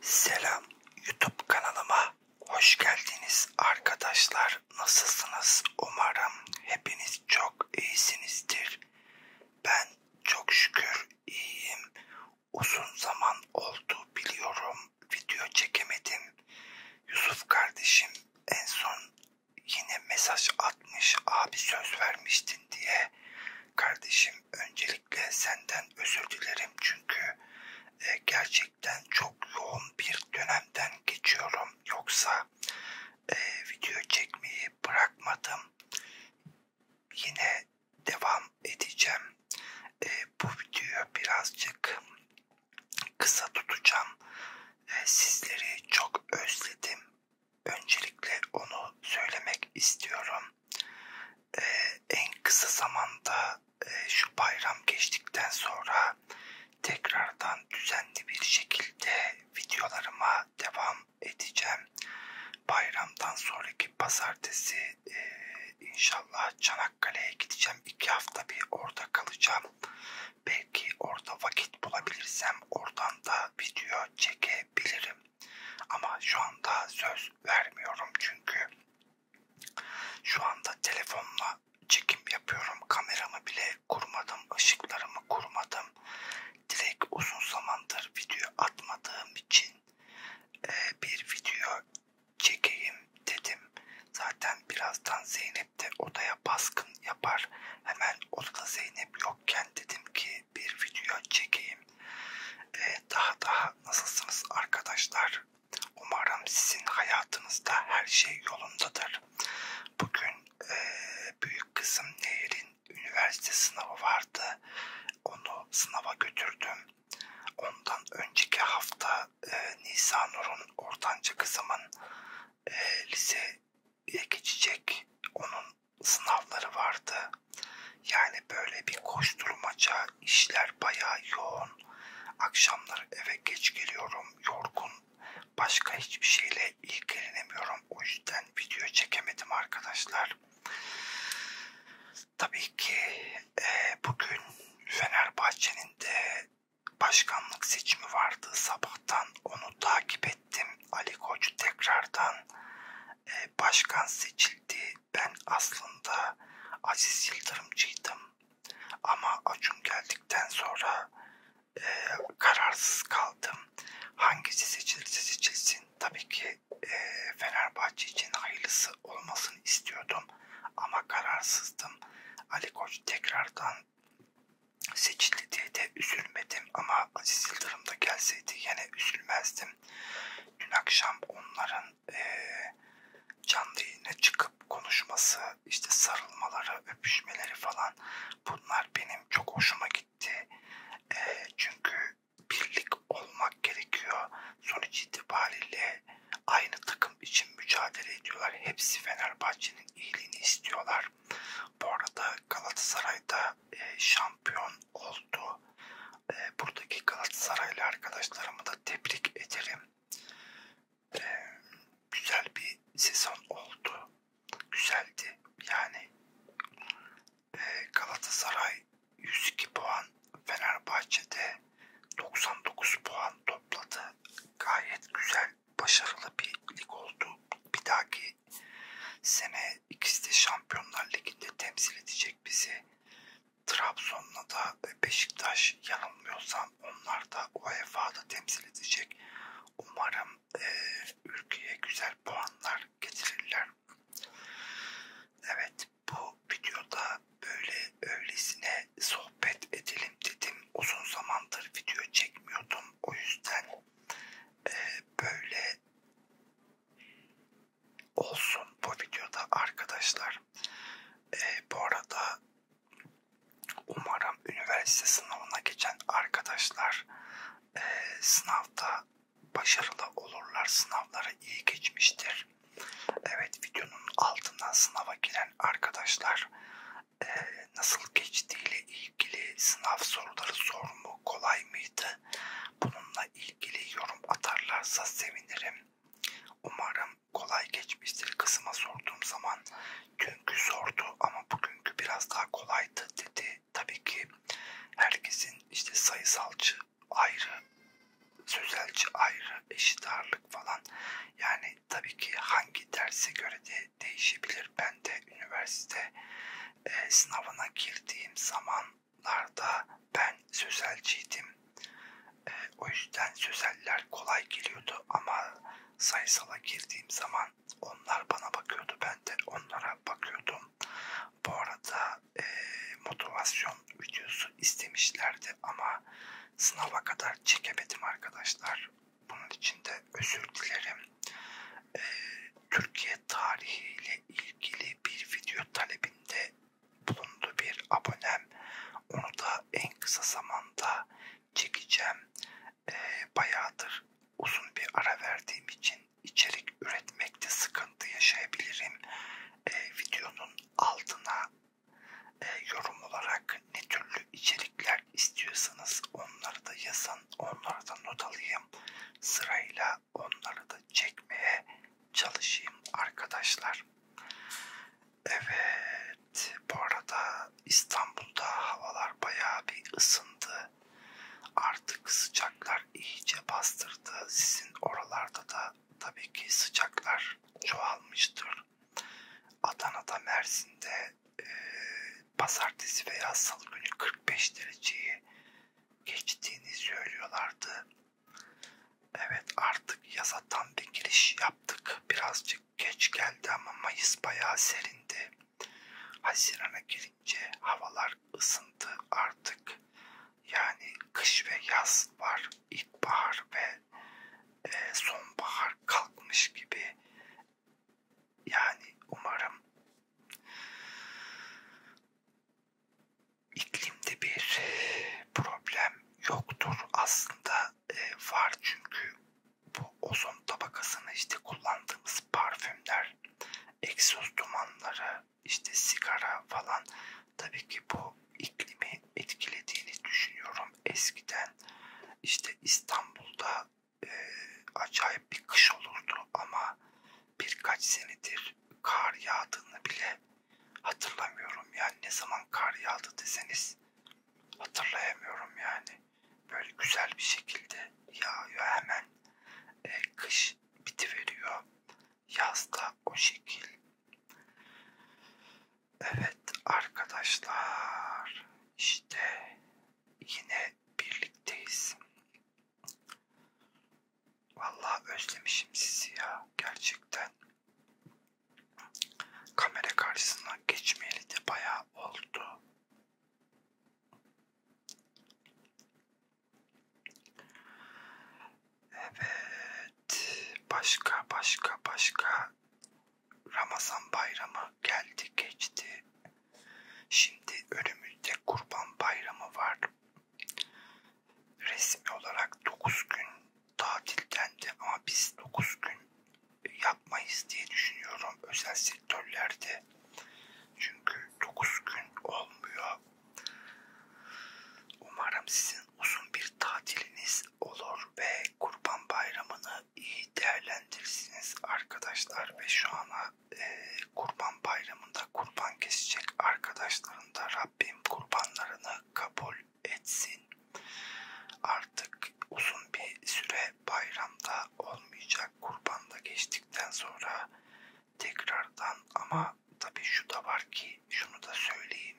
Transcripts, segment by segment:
Selam YouTube kanalıma hoş geldiniz arkadaşlar. Nasılsınız? Umarım hepiniz çok iyisinizdir. Ben çok şükür iyiyim. Uzun zaman oldu biliyorum. Video çekemedim. Yusuf kardeşim en son yine mesaj atmış. Abi söz vermiştin diye. Kardeşim öncelikle senden özür dilerim çünkü e, gerçekten çok yoğun bir dönemden geçiyorum. Yoksa e, video çekmeyi bırakmadım. Yine devam edeceğim. E, bu videoyu birazcık kısa tutacağım. E, sizleri çok özledim. Öncelikle onu söylemek istiyorum. Ee, en kısa zamanda e, şu bayram geçtikten sonra tekrardan düzenli bir şekilde videolarıma devam edeceğim. Bayramdan sonraki pazartesi e, inşallah Çanakkale'ye gideceğim. İki hafta bir orada kalacağım. Belki orada vakit bulabilirsem oradan da video çekebilirim. Ama şu anda söz vermiyorum çünkü şu anda telefonla çekim yapıyorum. Kameramı bile kurmadım, ışıklarımı kurmadım. Direkt uzun zamandır video atmadığım için e, bir video çekeyim dedim. Zaten birazdan Zeynep de odaya baskın yapar. Hemen odada Zeynep yokken dedim ki bir video çekeyim. Ee, daha daha nasılsınız arkadaşlar? Umarım sizin hayatınızda her şey yolundadır. Bugün e, büyük kızım Nehir'in üniversite sınavı vardı. Onu sınava götürdüm. Ondan önceki hafta e, Nisa Nur'un ortanca kızımın e, liseye geçecek. Onun sınavları vardı. Yani böyle bir koşturmaca, işler bayağı yoğun. Akşamları eve geç geliyorum, yorgun. Başka hiçbir şeyle ilgilenemiyorum. O yüzden video çekemedim arkadaşlar. Tabii ki e, bugün Fenerbahçe'nin de başkanlık seçimi vardı. Sabahtan onu takip ettim ettim. Ali Koç tekrardan e, başkan seçildi. Ben aslında Aziz Yıldırımcıydım. Ama Acun geldikten sonra e, kararsız kaldım. Hangisi seçilirse seçilsin. Tabii ki e, Fenerbahçe için hayırlısı olmasını istiyordum. Ama kararsızdım. Ali Koç tekrardan seçildi diye de üzülmedim ama Aziz Yıldırım da gelseydi yine üzülmezdim. Dün akşam onların e, canlı yayına çıkıp konuşması, işte sarılmaları, öpüşmeleri falan bunlar benim çok hoşuma gitti. E, çünkü birlik olmak gerekiyor. Sonuç itibariyle aynı takım için mücadele ediyorlar. Hepsi Fenerbahçe'nin iyiliğini istiyorlar. Bu arada Galatasaray'da e, şampiyon oldu. E, buradaki Galatasaraylı arkadaşlarımı da tebrik ederim. E, güzel bir sezon oldu. Güzeldi. Yani e, Galatasaray 102 puan, Fenerbahçe'de 99 puan topladı. Gayet güzel başarılı bir lig oldu. Bir dahaki sene ikisi de Şampiyonlar Ligi'nde temsil edecek bizi. Trabzon'la da Beşiktaş yanılmıyorsam onlar da UEFA'da temsil edecek. Umarım e, ülkeye güzel puanlar getirirler. Evet bu videoda böyle öylesine sohbet sohbet edelim dedim. Uzun zamandır video çekmiyordum. O yüzden e, böyle olsun bu videoda arkadaşlar. E, bu arada umarım üniversite sınavına geçen arkadaşlar e, sınavda başarılı olurlar. Sınavlara iyi geçmiştir. Evet videonun altından sınava giren arkadaşlar e, nasıl geçtiğiyle ilgili sınav soruları sorumu kolay mıydı? Bununla ilgili yorum atarlarsa sevinirim. Umarım kolay geçmiştir kısma sorduğum zaman. Çünkü sordu ama bugünkü biraz daha kolaydı dedi. Tabii ki herkesin işte sayısalcı ayrı, sözelci ayrı, eşit ağırlık falan yani tabii ki hangi derse göre de değişebilir. Ben de üniversite e, sınavına girdiğim zamanlarda ben sözelciydim. E, o yüzden sözeller kolay geliyordu ama sayısala girdiğim zaman onlar bana bakıyordu. Ben de onlara bakıyordum. Bu arada e, motivasyon videosu istemişlerdi ama Sınava kadar çekemedim arkadaşlar. Bunun için de özür dilerim. Ee, Türkiye tarihiyle ilgili bir video talebinde bulundu bir abonem. Onu da en kısa zamanda çekeceğim. Ee, bayağıdır uzun bir ara verdiğim için içerik üretmekte sıkıntı yaşayabilirim. Ee, videonun altına e, yorum olarak ne türlü içerikler istiyorsanız onları da yazın. Onları da not alayım. Sırayla onları da çekmeye çalışayım arkadaşlar. Evet bu arada İstanbul'da havalar bayağı bir ısındı. Artık sıcaklar iyice bastırdı. Sizin oralarda da da tabii ki sıcaklar çoğalmıştır. Adana'da, Mersin'de e, pazartesi veya salı günü 45 dereceyi geçtiğini söylüyorlardı. Evet artık yaza tam bir giriş yaptık. Birazcık geç geldi ama Mayıs bayağı serindi. Haziran'a girince havalar ısındı artık. Yani kış ve yaz var, ilkbahar ve e, sonbahar kalkmış gibi. Yani umarım iklimde bir problem yoktur aslında e, var çünkü bu ozon tabakasını işte kullandığımız parfümler, egzoz dumanları, işte sigara falan tabii ki bu iklimi etkilediğini düşünüyorum. Eskiden işte İstanbul'da e, acayip bir kış olurdu ama birkaç senedir kar yağdığını bile hatırlamıyorum. Yani ne zaman kar yağdı deseniz hatırlayamıyorum yani. Böyle güzel bir şekilde yağıyor hemen e, kış bitiveriyor yazda o şekil. Evet arkadaşlar işte yine birlikteyiz. Vallahi özlemişim sizi ya gerçekten. Kamera karşısına geçmeyeli de bayağı oldu. Evet. Başka başka başka. Ramazan bayramı geldi geçti. Şimdi önümüzde kurban bayramı var. Resmi olarak 9 gün tatilden de ama biz 9 gün yapmayız diye düşünüyorum özel sektörlerde. Çünkü 9 gün olmuyor. Umarım sizin uzun bir tatiliniz olur ve Kurban Bayramı'nı iyi değerlendirirsiniz arkadaşlar ve şu ana e, Kurban Bayramı'nda kurban kesecek arkadaşların da Rabbim kurbanlarını kabul etsin. Artık uzun bir süre bayramda olmayacak. Kurbanda geçtikten sonra tekrardan ama tabii şu da var ki şunu da söyleyeyim.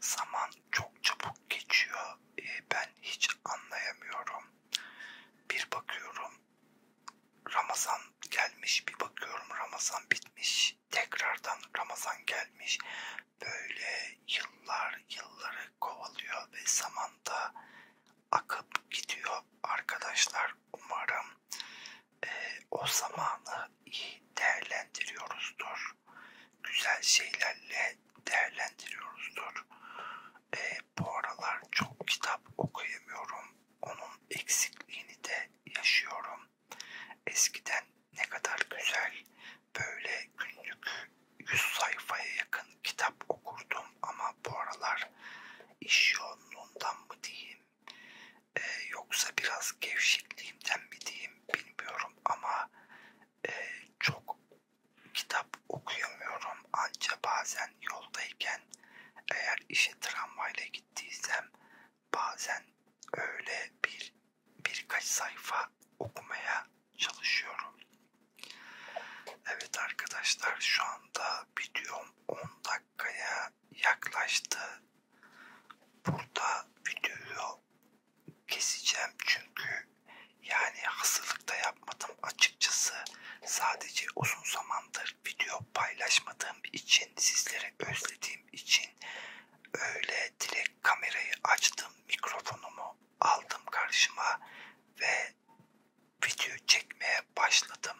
Zaman çok çabuk geçiyor. Ee, ben hiç anlayamıyorum. Bir bakıyorum Ramazan gelmiş, bir bakıyorum Ramazan bitmiş. Tekrardan Ramazan gelmiş. Böyle yıllar yılları kovalıyor ve zamanda akıp gidiyor arkadaşlar. Umarım e, o zamanı iyi değerlendiriyoruzdur. Güzel şeylerle değerlendiriyoruzdur. E, bu aralar çok kitap okuyamıyorum. Onun eksikliğini de yaşıyorum. Eskiden ne kadar güzel böyle günlük 100 sayfaya yakın kitap okurdum ama bu aralar iş yoğunluğundan mı diyeyim e, yoksa biraz gevşekliğimden mi diyeyim bilmiyorum ama e, çok kitap okuyamıyorum ancak bazen yoldayken eğer işe tramvayla gittiysem bazen öyle bir birkaç sayfa okumaya çalışıyorum. Evet arkadaşlar şu anda videom 10 dakikaya yaklaştı. Burada videoyu keseceğim çünkü yani hazırlıkta yapmadım açıkçası. Sadece uzun zamandır video paylaşmadığım için sizleri özlediğim için öyle direkt kamerayı açtım mikrofonumu aldım karşıma ve video çekmeye başladım.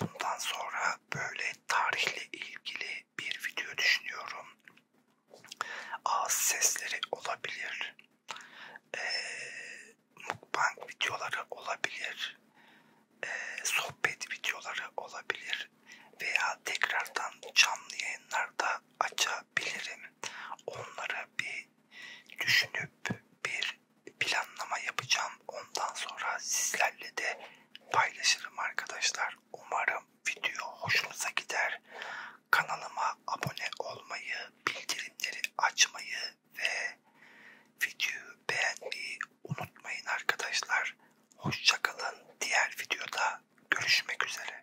Bundan sonra böyle tarihle ilgili bir video düşünüyorum. Ağız sesleri olabilir. Ee, mukbang videoları olabilir. Ee, sohbet videoları olabilir. Veya tekrardan canlı yayınlarda açabilirim. Onları bir düşünüp bir planlama yapacağım. Ondan sonra sizlerle de paylaşırım arkadaşlar. Umarım video hoşunuza gider. Kanalıma abone olmayı, bildirimleri açmayı ve videoyu beğenmeyi unutmayın arkadaşlar. Hoşçakalın. Diğer videoda görüşmek üzere.